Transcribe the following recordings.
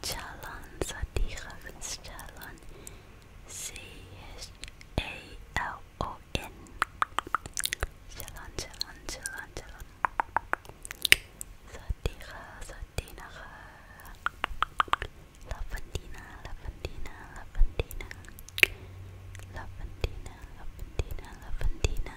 Chalon Sadiq's Chalon C H A L O N Chalon Chalon Chalon Chalon Sadiqa Sadina Lavandina Lavandina Lavandina Lavandina Lavandina Lavandina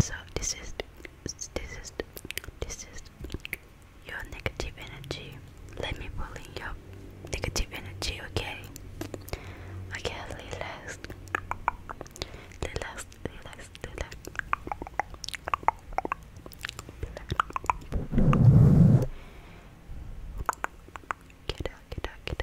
So this is this is this is your negative energy. Let me pull in your negative energy, okay? I can't relax, relax. Get out,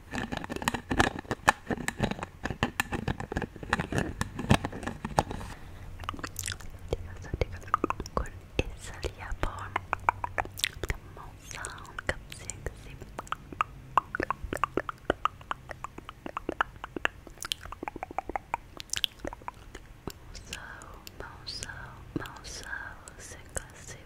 Esel Japon Monsan Kapsiyakasi Monsan Monsan Monsan Kapsiyakasi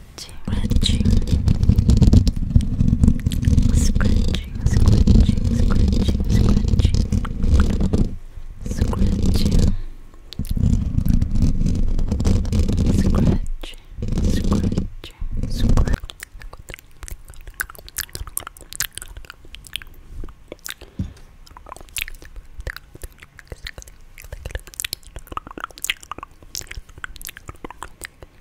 scratching, scratching, scratching, scratching, scratching, scratching, scratching, scratching, scratching, scratch, scratch, scratch, scratch, scratch, scratch, scratch, scratch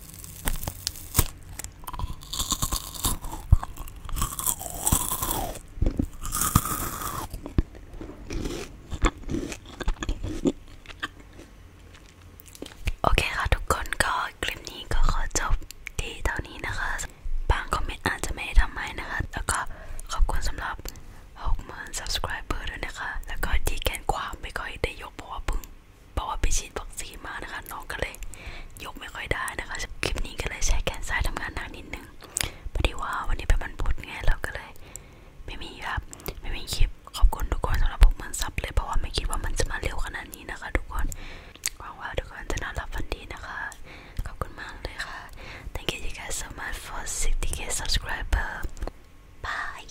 โอเคค่ะทุกคนก็คลิปนี้ก็ขอจบที่เท่านี้นะคะ บางคอมเมนต์อาจจะไม่ได้ทำให้นะคะแล้วก็ขอบคุณสำหรับ 60,000 subscriber ด้วยนะคะ แล้วก็ที่แกนความไม่ค่อยได้ยกเพราะว่าพึ่งเพราะว่าไปฉีดวัคซีนมานะคะน้องก็เลย ยกไม่ค่อยได้นะคะคลิปนี้ก็เลยใช้แขนซ้ายทำงานหนักนิดนึงพอดีว่าวันนี้เป็นวันพุธไงเราก็เลย ไม่มีครับ ไม่มีคลิปขอบคุณทุกคนสำหรับพวกมันซับเลย เพราะว่าไม่คิดว่ามันจะมาเร็วขนาดนี้นะคะ ทุกคนหวังว่าทุกคนจะนอนหลับฝันดีนะคะ ขอบคุณมากเลยค่ะ Thank you guys so much for 60k subscriber Bye